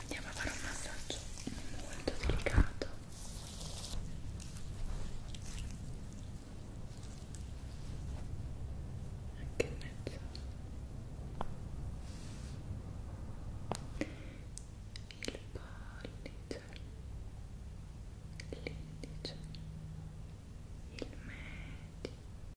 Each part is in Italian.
andiamo a fare un massaggio molto delicato anche in mezzo il pollice l'indice il medio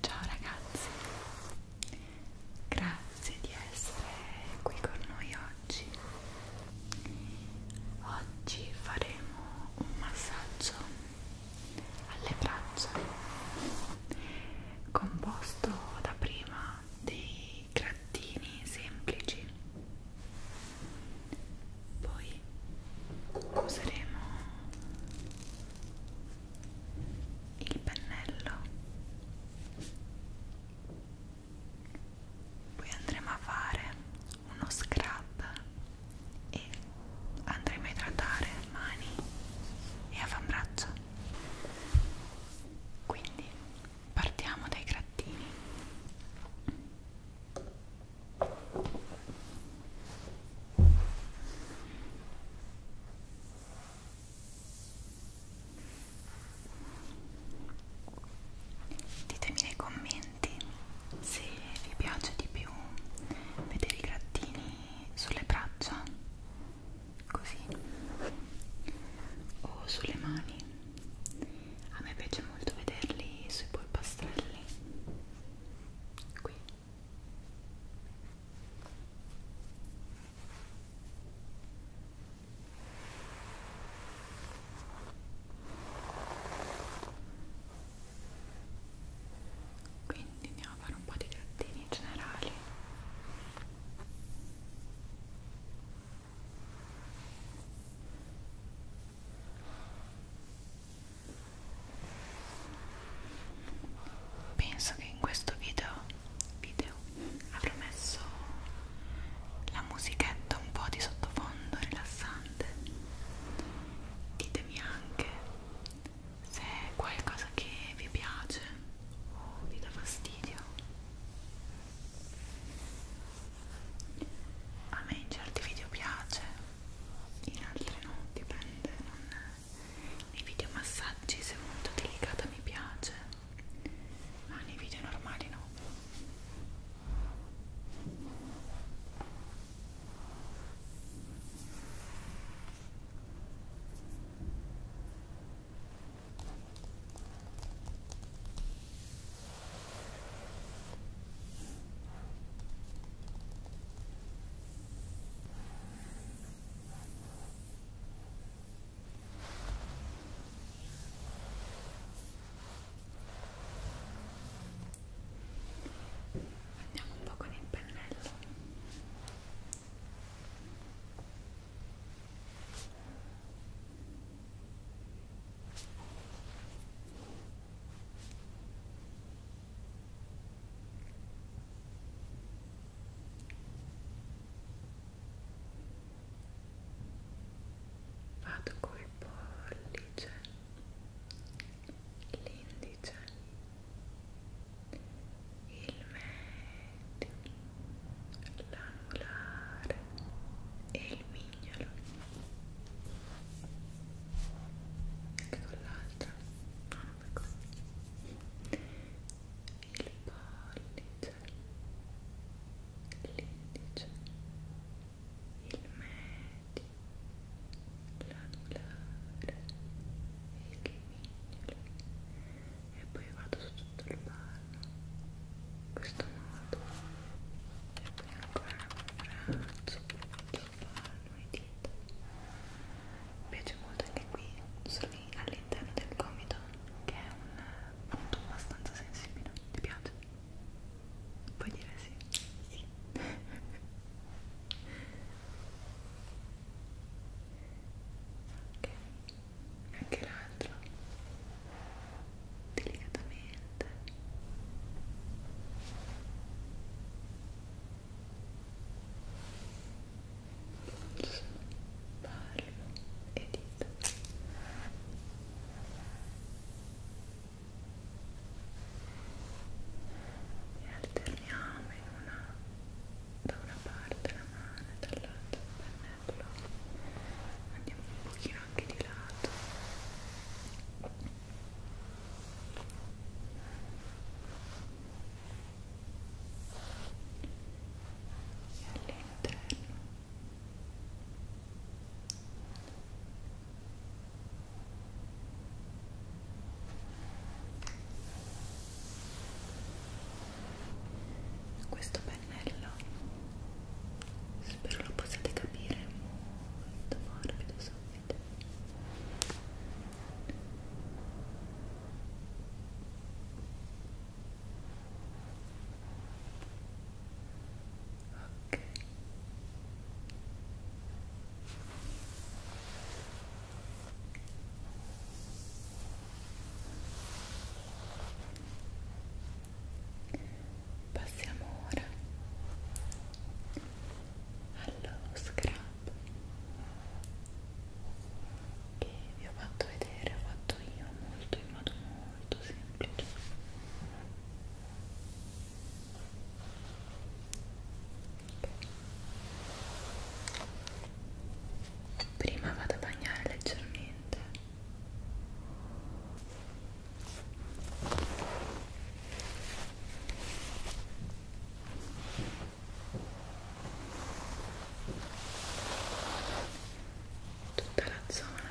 Ciao ragazzi, grazie di essere qui con noi oggi. Oggi faremo un massaggio alle braccia composto da prima dei grattini semplici poi useremo il pennello poi andremo a fare uno scrub e andremo a idratare mani e avambraccio quindi partiamo dai grattini ditemi nei commenti se vi piace di più vedere i grattini sulle braccia così o sulle mani a me piace molto vederli sui polpastrelli qui quindi andiamo a fare un po' di grattini generali Penso che in questo video, video avrò messo la musichetta un po' di sottofondo rilassante. Ditemi anche se è qualcosa che vi piace o vi dà fastidio a me in certi video piace in altri no dipende non nei video massaggi se è molto delicata mi piace ma nei video normali no Andiamo un po' con il pennello. Vado col pollice, l'indice, il medio, l'anulare e il mignolo anche con l'altra no, non per così il pollice l'indice il medio l'anulare e il mignolo e poi vado su tutto il ballo in questo modo e poi ancora un braccio sul palmo e dita mi piace molto anche qui all'interno del gomito che è un punto abbastanza sensibile ti piace? puoi dire sì? sì ok anche l'altro delicatamente polso, palmo e dita e alterniamo in una da una parte la mano e dall'altra il pennello andiamo un pochino anche di lato e all'interno e questo pennello spero lo possiate capire molto morbido subito ok Passiamo ora allo scrub che vi ho fatto vedere, ho fatto io molto in modo molto semplice. Okay prima vado a bagnare leggermente tutta la zona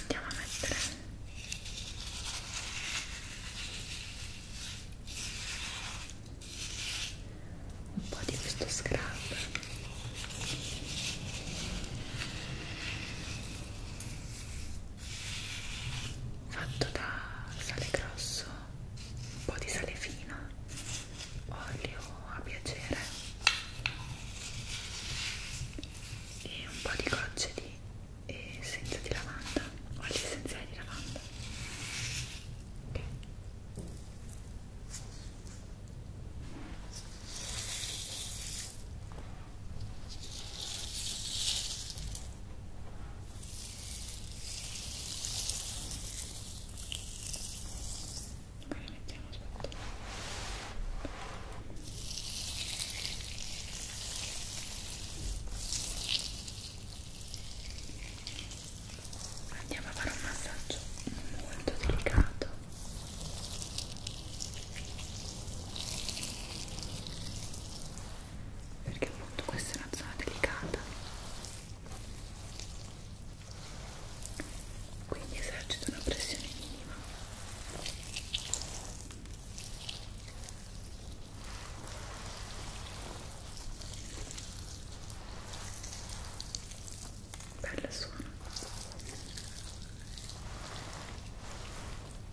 Andiamo a mettere un po' di questo scrub fatto da sale grosso, un po' di sale fino, olio a piacere e un po' di gocce di essenza di lavanda, olio essenziale di lavanda. Okay. Poi la mettiamo sotto. Andiamo a fare un massaggio molto delicato perché appunto questa è una zona delicata quindi esercito una pressione minima Bella suona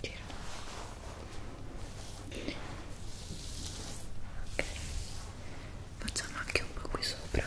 Gira. Ok, facciamo anche un po' qui sopra.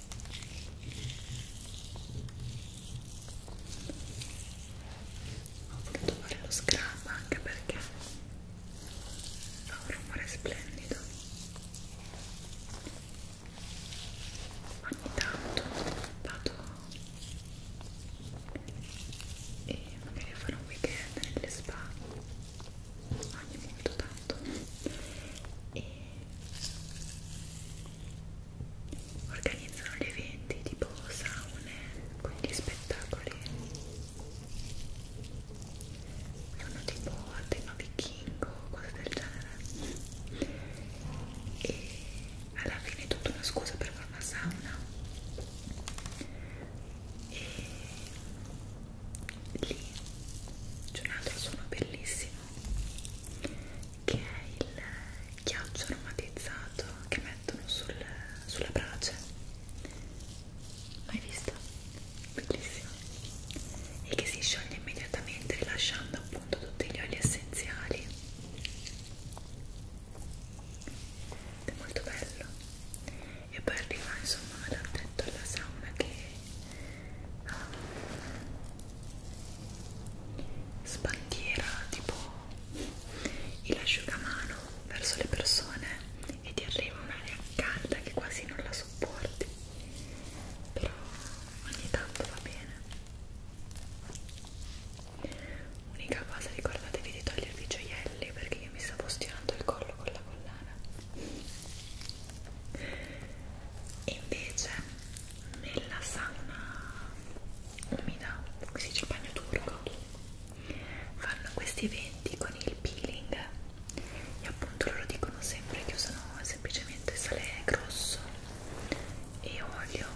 ho voluto fare lo scrub anche perché fa un rumore splendido ogni tanto vado e magari farò un weekend nelle spa ogni molto tanto e organizzano gli eventi tipo saune con gli spettacoli sono tipo a tema vichingo cose del genere e alla fine è tutta una scusa per fare una sauna e lì c'è un altro suono bellissimo che è il ghiaccio aromatizzato che mettono sul, sulla brace mai visto? bellissimo e che si scioglie immediatamente rilasciando appunto tutti gli oli essenziali è molto bello e poi arriva insomma l'attento alla sauna che sbandiera tipo il asciugamano verso le persone e ti arriva un'aria calda che quasi non la sopporti però ogni tanto va bene unica cosa ricordatevi di togliervi i gioielli perché io mi stavo stirando il collo con la collana e invece nella sauna umida, si dice bagno turco, fanno questi eventi con il peeling e appunto loro dicono sempre che usano semplicemente sale grosso e olio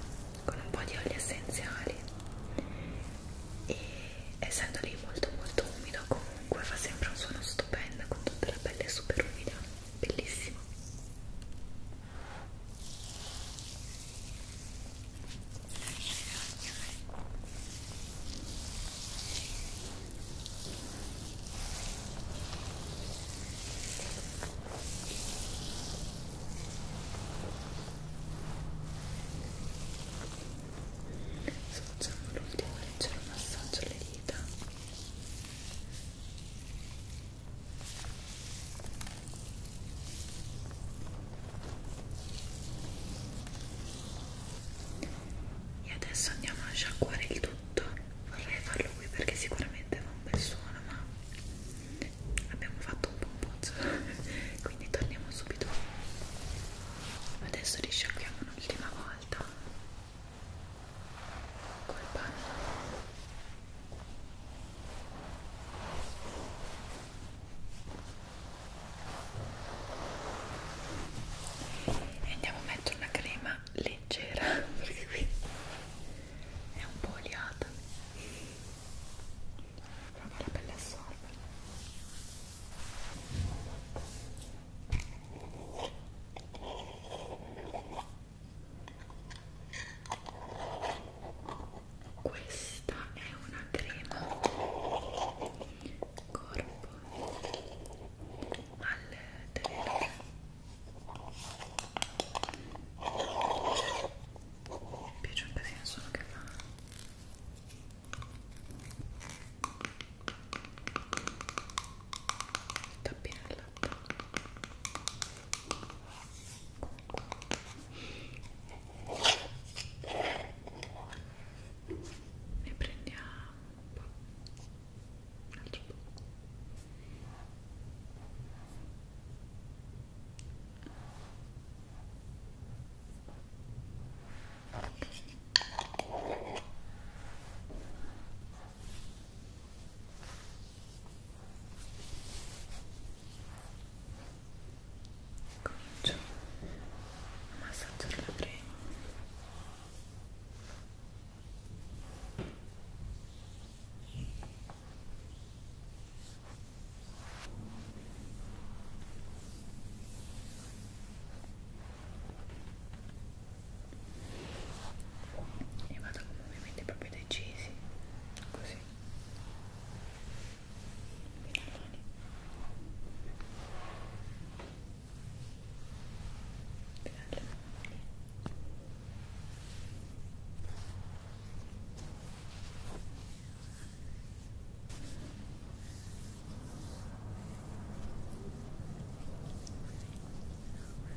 con un po' di oli essenziali e essendo lì molto molto umido comunque fa sempre un suono stupendo con tutta la pelle super umida bellissimo Adesso facciamo l'ultimo leggero massaggio alle dita e adesso andiamo a sciacquare il tutto vorrei farlo qui perché sicuramente fa un bel suono ma abbiamo fatto un po' un pozzo quindi torniamo subito adesso li sciacquiamo un'ultima volta col panno e andiamo a mettere una crema leggera perché qui è un po' oliata però la pelle assorbe questa è una crema corpo al terreno mi piace un casino solo che fa tappina il latte ne prendiamo un po', un altro po'. Okay. Comincio a massaggiare la crema. Ecco e vado con movimenti proprio decisi così Finaloni. Finaloni. Ora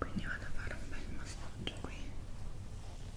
Quindi vado a fare un bel massaggio qui.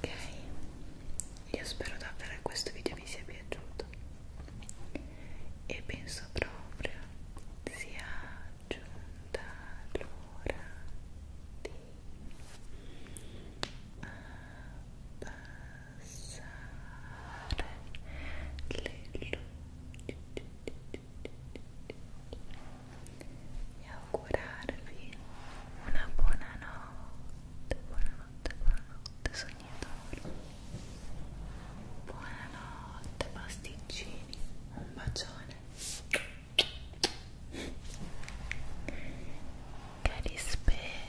Ok, io spero davvero che questo video vi sia piaciuto e penso proprio sia giunta l'ora di abbassare passare le e augurarvi una buona notte, buonanotte, buonanotte sognatori buonanotte pasticcini, un bacione che rispera